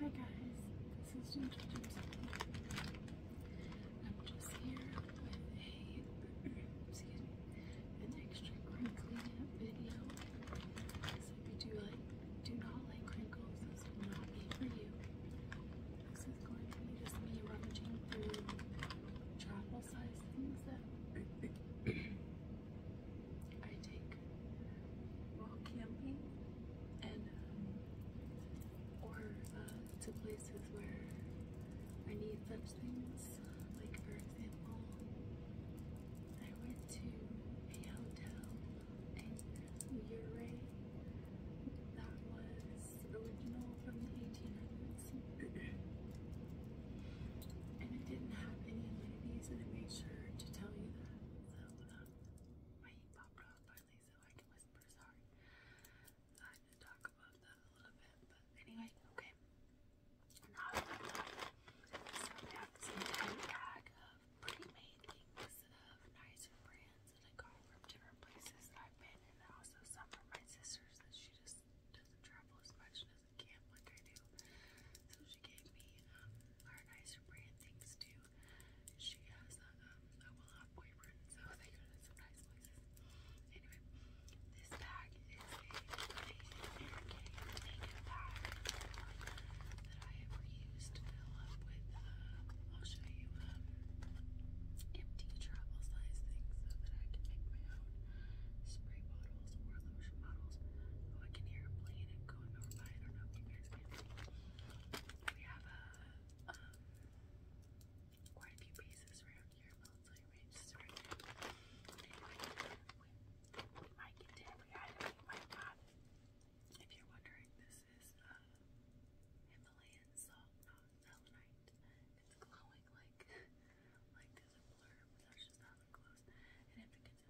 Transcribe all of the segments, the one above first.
Hi guys, this is Ginger I'm just here with a, excuse me, an extra crinkly video. if you do like, do not like crinkles, this will not be for you. This is going to be just me rummaging through travel size things that I take while camping and um, or uh, to places where I need such things. Like for example, I went to a hotel in Uray that was original from the 1800s. and it didn't have any amenities and it made sure to tell you that. Uh, my pop rock finally so I can whisper, sorry. I had to talk about that a little bit, but anyway, okay. So I have this entire bag of pre-made things of nicer brands that I got from different places I've been and also some from my sisters that she just doesn't travel as much doesn't camp like I do. So she gave me um, nicer brand things too. She has a, um, boyfriend, so they go to some places. Anyway, this bag is a Asian American naked bag that I have reused fill up with, uh, I'll show you, um, empty travel size things so that I can make my own spray bottles or lotion bottles. Oh, I can hear a plane going you We have a uh, um, quite a few pieces around here, but let's like we just right We might get it. We might get it. If you're wondering, this is uh, Himalayan salt, not selenite. It's glowing like like a blur, but that's just not that close. And if it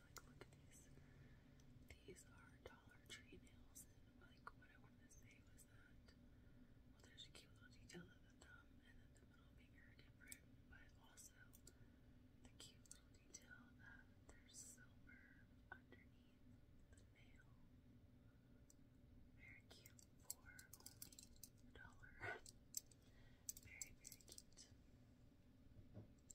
Like, look at these. These are Dollar Tree nails, like what I wanted to say was that well, there's a cute little detail of the thumb and then the middle finger different, but also the cute little detail that there's silver underneath the nail. Very cute for only a dollar. Very, very cute.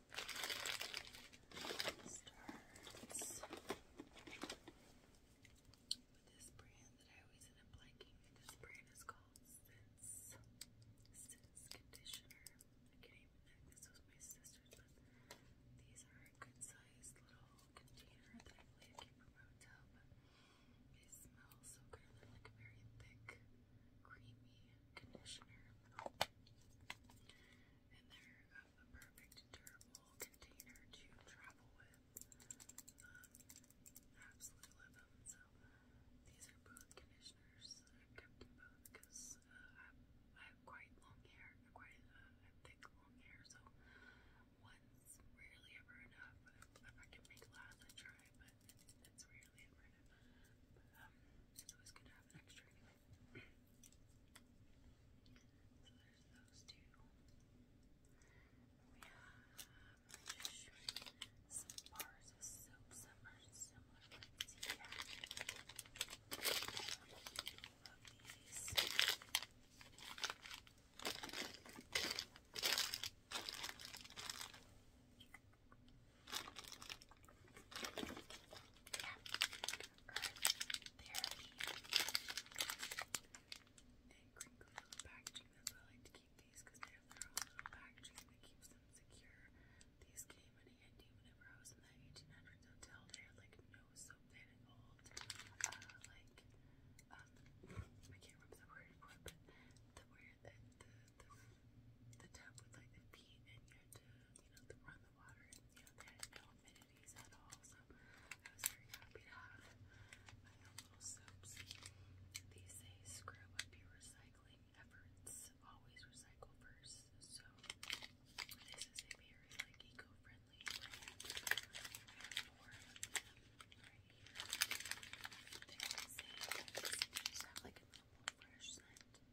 starts with this brand that I always end up liking. This brand is called Sense. Sense Conditioner. I can't even this was my sister's, these are a good sized little container that I believe came from a hotel, they smell so good. They're like very thick creamy conditioner. And they're a, a perfect durable container to travel with. Um, absolutely love them. So these are both conditioners. I kept them both because uh, I have quite long hair. I quite uh, have thick long hair, so one's rarely ever enough. If, if I can make last, I try, but it's that's rarely ever But, um, it's always good to have an extra so there's those two. We have, you some bars of Some are similar ones here. Yeah. I love these. Yeah. Earth therapy. And crinkly little packaging. I like to keep these because they have their own little packaging that keeps them secure. These came in handy whenever I was in that 1800s hotel. They had like no soap that involved. Uh, like, I can't remember the word the word that the tub with like the feet and you had to, you know, run the water and you know, they had no amenities at all. So I was very happy to have my own little soaps. These say screw up your recycling efforts. Always recycle first. So this is a very like eco-friendly brand. I them right here. They just have like a little fresh scent.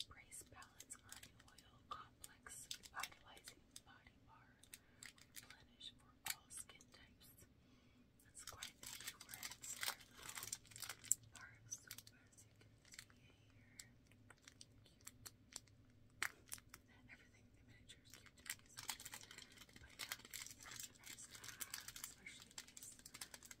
Embrace Balance Army Oil Complex Vitalizing Body Bar. Replenish for all skin types. That's quite a for a bar soap, as you can see here. Everything in miniature is cute to me, but yeah, nice especially these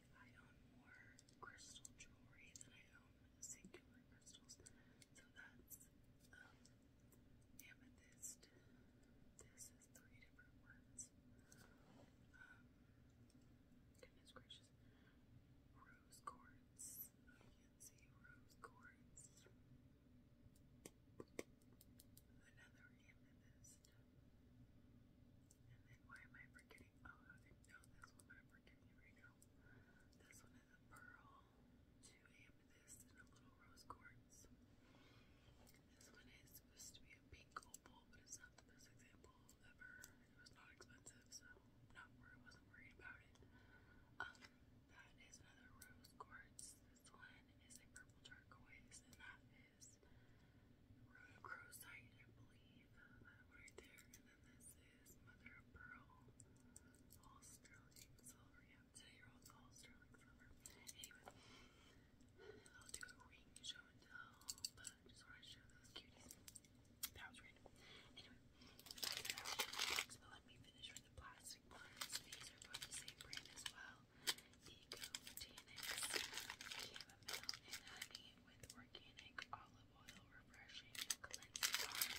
like I own more crystal jewelry than I own singular crystals. So that's um, amethyst. This is three different ones. Um, goodness gracious. Rose quartz. You can see rose quartz. Another amethyst. And then why am I forgetting? getting. Oh, I was even. No, that's what I'm pretending right now. This one is a pearl, two amethyst, and a little rose quartz. This one is supposed to be a pink opal, but it's not the best example ever. It was not expensive, so not worried. Wasn't worried about it. Um, that is another rose quartz. This one is a purple turquoise, and that is crocite, I believe. Uh, right there. And then this is mother of pearl, all sterling silver. Yeah, today you're all sterling silver. Anyway, I'll do a ring show and tell, but just want to show those cuties. That was random. Anyway, but let me finish with the plastic ones. These are from the same brand as well. Eco Botanics Chamomile and Honey with Organic Olive Oil Refreshing Cleansing Balm.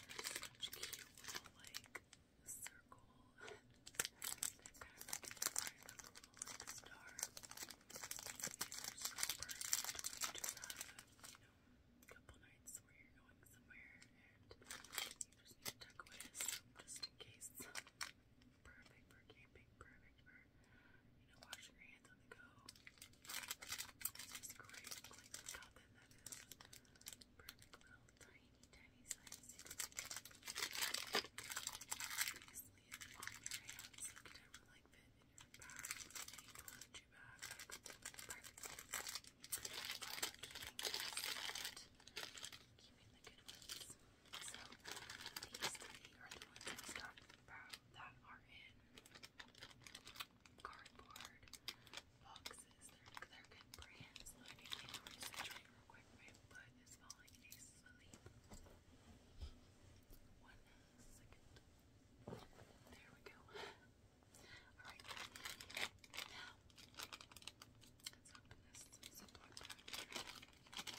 These such cute like, circle. star. These are so perfect have, you know, couple nights where you're going somewhere and you just need to tuck away just in case perfect for camping, perfect for, you know, washing your hands on the go. It's just great. Like, got that that is perfect little tiny, tiny size. You can your hands. Like, like fit in your bag, in your toiletry bag. perfect. keeping the good ones. So these are the ones that are in cardboard boxes. They're, good brands. Let me get real quick. My foot is falling asleep. One second. There we go. Alright. Now, let's open this Ziploc pack.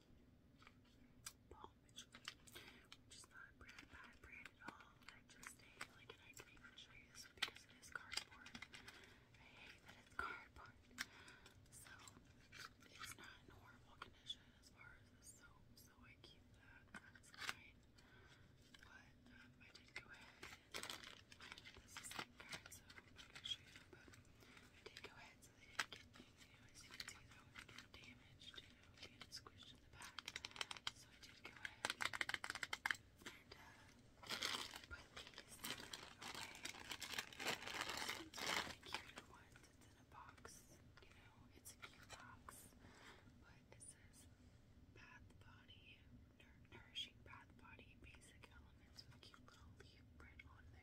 some palm which, is not a brand bad brand at all. I just like and I did show you this because it is cardboard. I hate that it's cardboard. So it's not in horrible condition as far as the soap, so I keep that. That's fine. But um, I did go ahead um, this is like card soap. I'm not gonna show you, but I did go ahead so they get anything. You know, as you squished in the back. So I did go ahead and uh, put these away. It's really cute ones. It's in a box, you know, it's a cute box. But it says Bath Body, Nourishing Bath Body Basic Elements with cute little leaf print on there.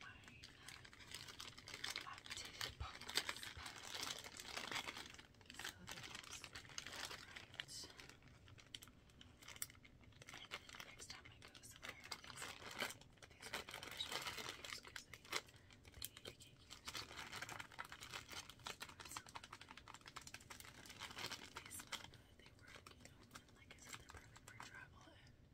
my lactated pumpkin So those right. And then next time I go somewhere, these are, these are the they, need to get used to my Absolutely. They smell good, they work, you like I said, they're travel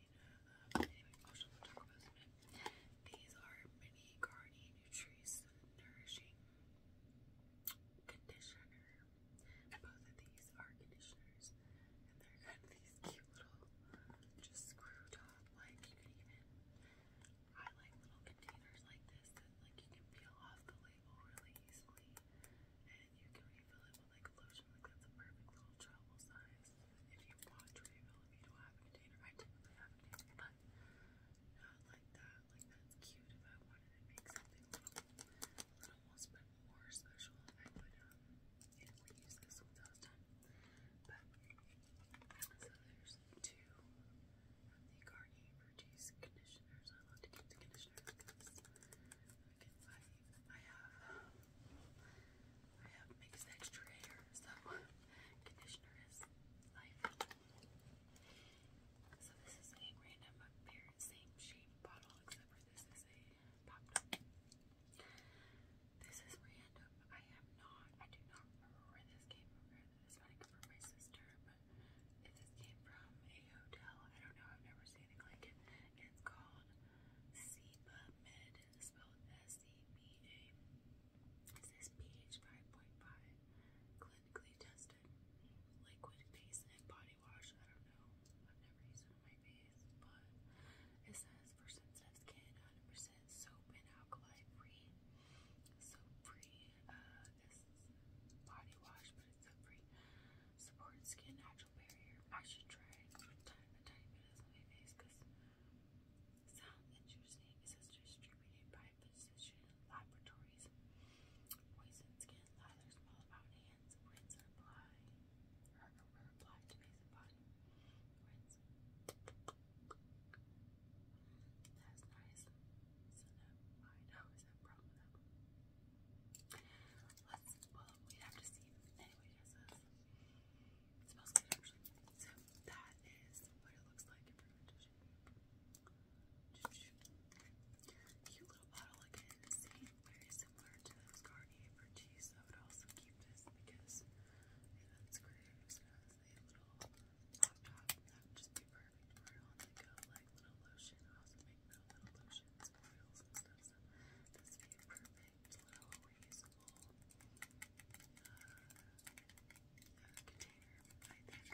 Neutrogena. These are mini Garnier Nutrice Nourishing Conditioner. Both of these are conditioners, and they're kind of these cute little, just screw top. Like you I like little containers like this that like you can peel off the label really easily, and you can refill it with like lotion. Like that's a perfect little travel size if you bought Dreamville, if do have a container, I typically have a container, but not like that. Like that's cute. If I wanted to make something a little, more, special, I would um, this once I But there's two of the Garnier Fructis conditioners. I love to keep the because I have I have mixed extra hair, so conditioner is life. So this is a random same shape bottle, except for this is a pop. This is random. I am not. I do not remember where this came from. This might come from my sister, but if this came from a hotel, I don't know. I've never seen anything like it. It's called Seba Med spelled S-E-B-A. It says pH 5.5. Clinically tested. Liquid face and body wash. I don't know. I've never used it on my face, but it says for sensitive skin, 100% soap and alkali free. Soap free. Uh, this is body wash, but it's soap free. Supports skin hydration natural barrier. I should try it from time to time, but it's on my face because sound interesting. It says distributed by Physician Laboratories. Poison skin lathers all about hands. Rinse and apply. Or, or, or apply to face and body. Rinse. That's nice. So now I know is a problem though. Let's, well, we have to see. Anyway, it says, it smells good actually. So that is what it looks like in fermentation. Cute little bottle again. Same, very similar to those Garnier Fructis. I would also keep this because it unscrews and a little pop top. That just be perfect for it on go, like little lotion. I also make little, little lotions oils and stuff. So this would it's a little reusable container, I think,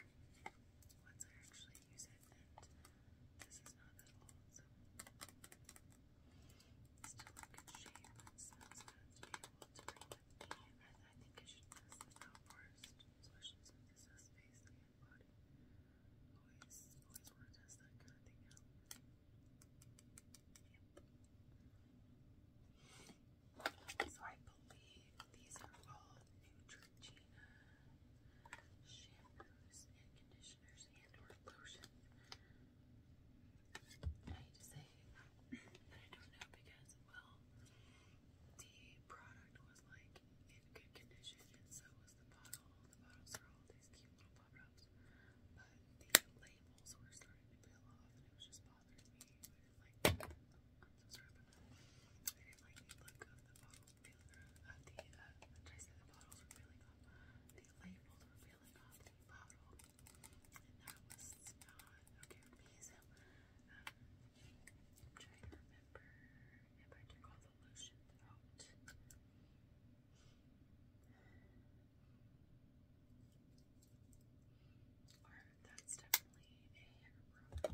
once I actually use it, this is not that old, still in good shape, and good to be I, think I should test this out first, especially since this has face and body. Always, always want to test that kind of thing out. So I believe these are all Neutrogena shampoos and conditioners and or lotion. I hate to say that I don't know because, well, the product was like in good condition and so was the bottle. The bottles are all these cute little pop rocks. But the labels were starting to peel off and it was just bothering me. I didn't like oh, I'm so sorry I didn't like the look of the bottles peeling off. Uh, the uh I say the bottles were peeling off? The labels were peeling off the bottle. And that was not okay with me. So um, i remember if I took all the lotion out. Or that's definitely a hair product.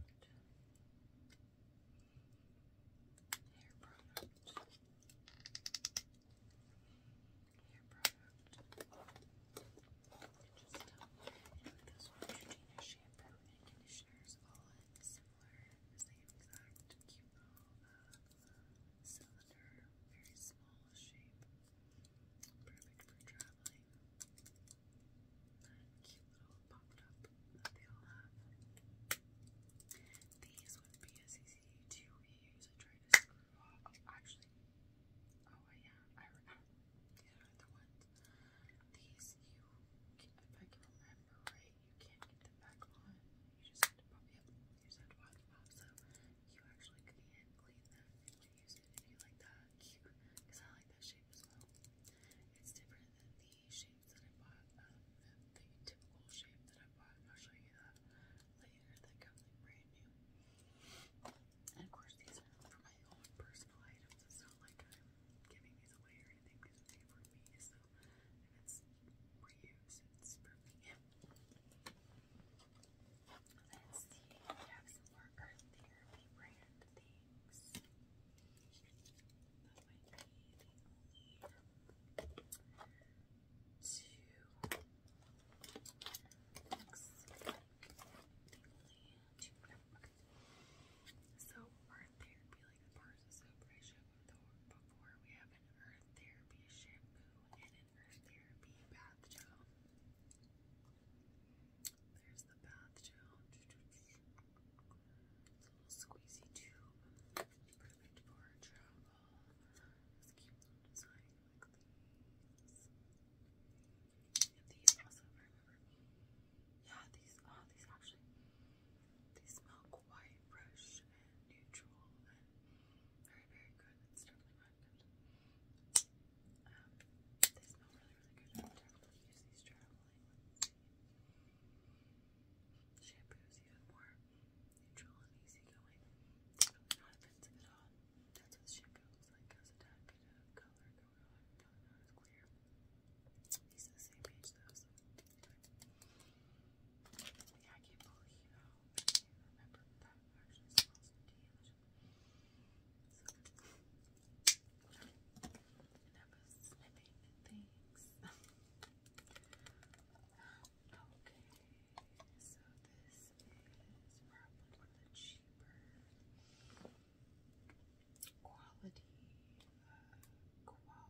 Hair product. Hair product. Just um, uh, one, Neutrogena shampoo and conditioners all in similar, same exact uh, cylinder, very small shape, perfect for traveling. cute little popped up These would be as easy to reuse. I tried to screw off. actually, oh yeah, I remember. the ones. These you, if I can remember right right? You can't get them back on. You just have to pop You have to pop them off. So you actually can clean them if you use it. If you like that because I like that shape as well. It's different than the shapes that I bought. Um, the, typical shape that I bought. I'll show you that later. That comes brand new. And of course, these are for my own personal items. It's not like I'm giving these away or anything. These are for me. So and it's Let's see, we have some more Earth brand things. That might be the only two. Looks like the only two. So, Earth Therapy, like the bars of before. We have an earth therapy shampoo and an earth therapy bath gel. There's the bath gel. It's a little squeezy tube. Perfect for travel. these. also remember Yeah, these oh these actually they smell quite fresh and neutral and very, very good. It's definitely not good. Um, they smell really, really good. definitely use these traveling shampoos, even more neutral and easygoing. not offensive at all. That's what shampoo like. Has a tad bit of color going on, probably clear. These are the same page though, yeah, I can't believe how I can remember that actually smells so, that was things. okay, so this is probably the cheaper quality uh,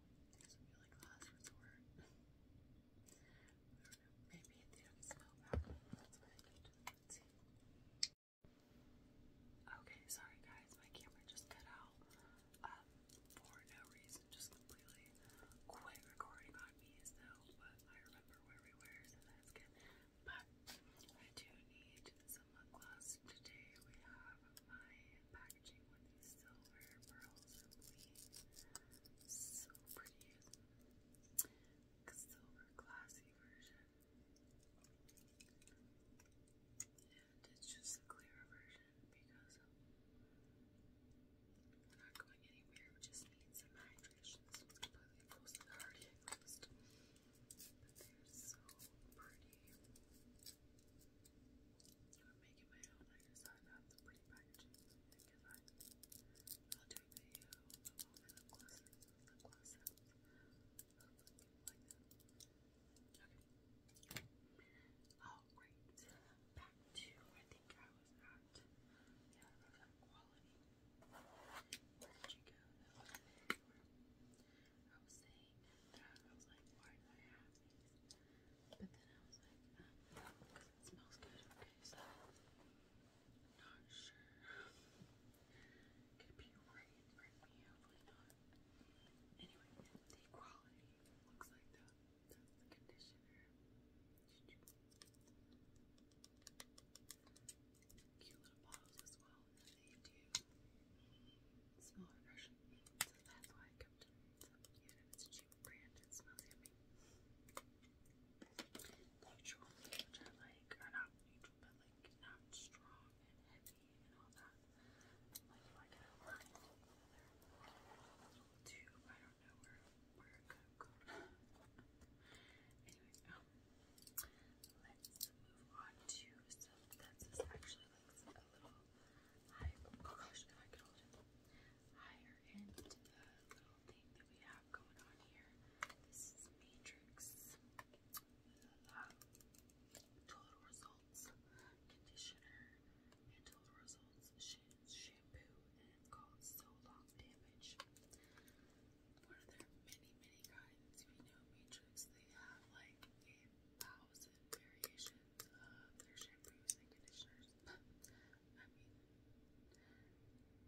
this would Okay, sorry guys, my camera just cut out um, for no reason, just completely quit recording on me as but I remember where so that's good. But I do need some lip Today we have my packaging with these silver pearls and So pretty. A silver glassy version. And it's just a clearer version because we're not going anywhere. We just need some hydration. This one's completely frozen they're so pretty. Even making my own, I decided out the pretty packaging because I, I'll do a video of all my lip Okay. Oh, Back to, I think I was at, yeah, I was quality. Where did you go? No, I was saying that I was like, why do I have but then I was like, because um, it smells good. Okay, so not sure. Could be right for me, hopefully not. Anyway, the quality looks like that. That's the conditioner. Cute little bottles as well, and they do smell refreshing. So that's why fruit. Even if it's a cheap brand, it smells yummy. Neutral, which I like, or not neutral, but like not strong and heavy and all that. Like if I could align it together. Tube, I don't know where where it could have gone. Anyways, um, let's move on to so that's actually like a little higher. Oh thing that we have going on here. This Matrix uh, Total Results Conditioner and Total Results Shampoo and called So Long Damage. One of many, many kinds. We know Matrix, they have like a thousand variations uh, their shampoos and conditioners. I mean,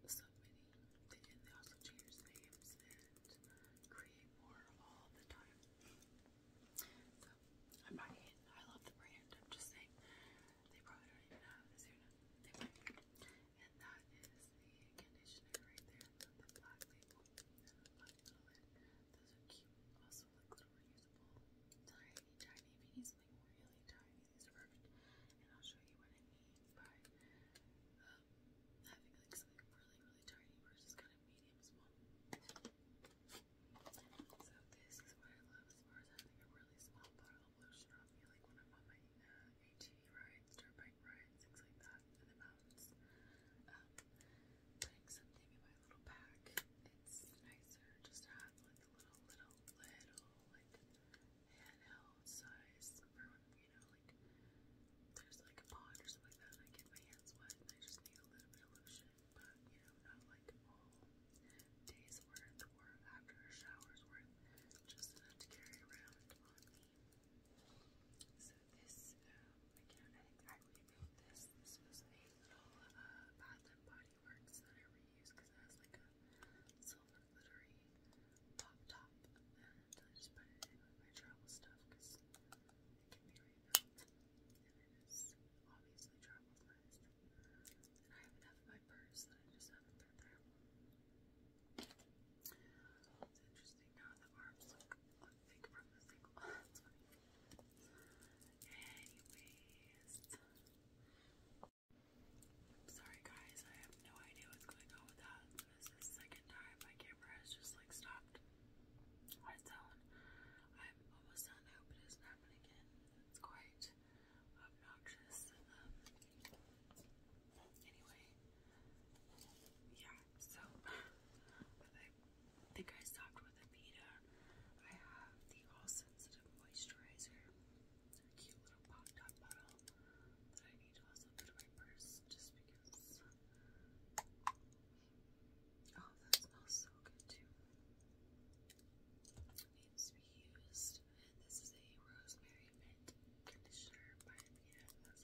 so many. They, and they also change names and create more all the time. So, I'm not hating. I love the brand. I'm just saying they probably don't even have this here now. They might. And that is the conditioner right there, the black label, and the black little lid. Those are cute. Also like little reusable tiny, tiny bees, like really tiny. These are perfect. And I'll show you what I mean by um, having like something really, really tiny versus kind of medium small. So this is what I love as far as having a really small bottle of lotion on me, like when I'm on my uh, ATV rides, dirt bike rides, things like that in the mountains. Um, putting something in my little pack. It's nicer just to have like the little, little, little like handheld size for when, you know, like there's like a pond or something like that I get my hands wet I just need a little bit of lotion. But, you know, not like days worth or after shower's worth. Just enough to carry around on me. So this, um, I think I remade this. This was a little uh, Bath and Body Works that I reused because it has like a silver glittery pop top, and I just put it in with my travel stuff because it can be rebuilt, and it is obviously travel sized. And I have enough in my purse that I just haven't put there. It's interesting now the arms look. Are Anyways. I'm sorry guys, I have no idea what's going on with that. This is the second time my camera has just like stopped on its own. I'm almost done. hope it doesn't happen again. It's quite obnoxious. Um, anyway, yeah, so I think I stopped with a Vita. I have the All Sensitive Moisturizer. It's a cute little pop top bottle that I need to also put in my purse just because. Oh, that smells so good too. needs to be used. This is a rosemary mint conditioner by Vita as well.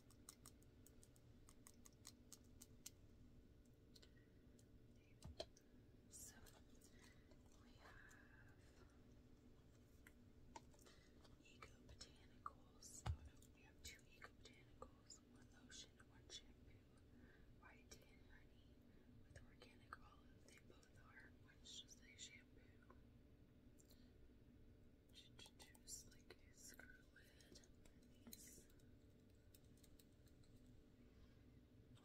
Okay. So we have Eco Botanicals. we have two Eco Botanicals, one lotion, one shampoo, white and honey with organic olive. They both are. One's just like shampoo. Just like a screw lid. These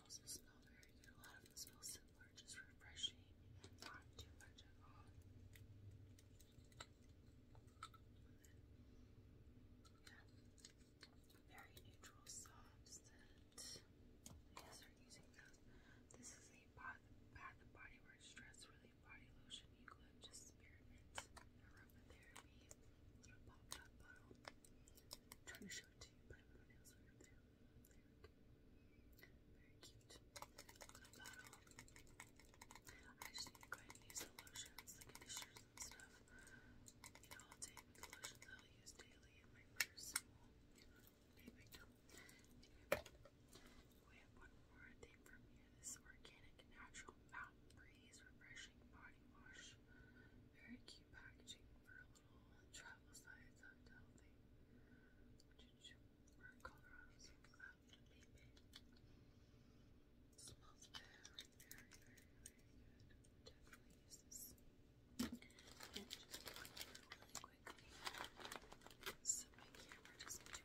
also smell very good. A lot of them smell similar, just refreshing, not too much at all. Yeah. Very neutral, soft scent. You guys are using this. This is a bath, bath and body where stress relief body lotion. You could just experiment, aromatherapy, little pop-up bottle. trying to show it to you, but everyone else right up there. Very cute. Little bottle. I just need to go and use the lotions, the conditioners and stuff. You know, I'll take the lotions I'll use daily in my personal, you makeup. we have one more thing from you this organic natural mountain breeze refreshing body wash. Very cute packaging for a little travel size and healthy. Or Colorado's out of the baby. Smells very, very, very, very good. Definitely use this. And just really quickly, my camera doesn't do anything stupid.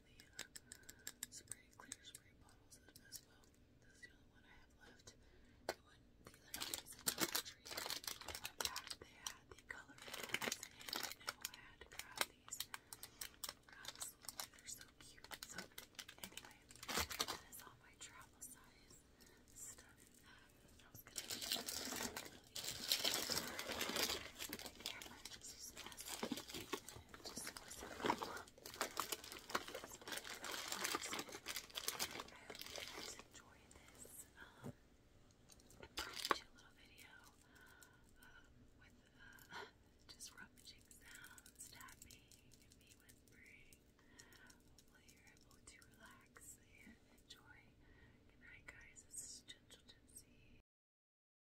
the uh, spray clear spray bottles as well. This the only one I have left. And when these are days in they had the color ones, and I had to these. are so cute. So anyway, that is all my travel size stuff. I was gonna do the camera just messy just I hope you guys enjoy this um, little video with just rummaging sounds, tapping, me whispering. Hopefully you're able to relax and enjoy. Good night guys, this Gentle Tipsy.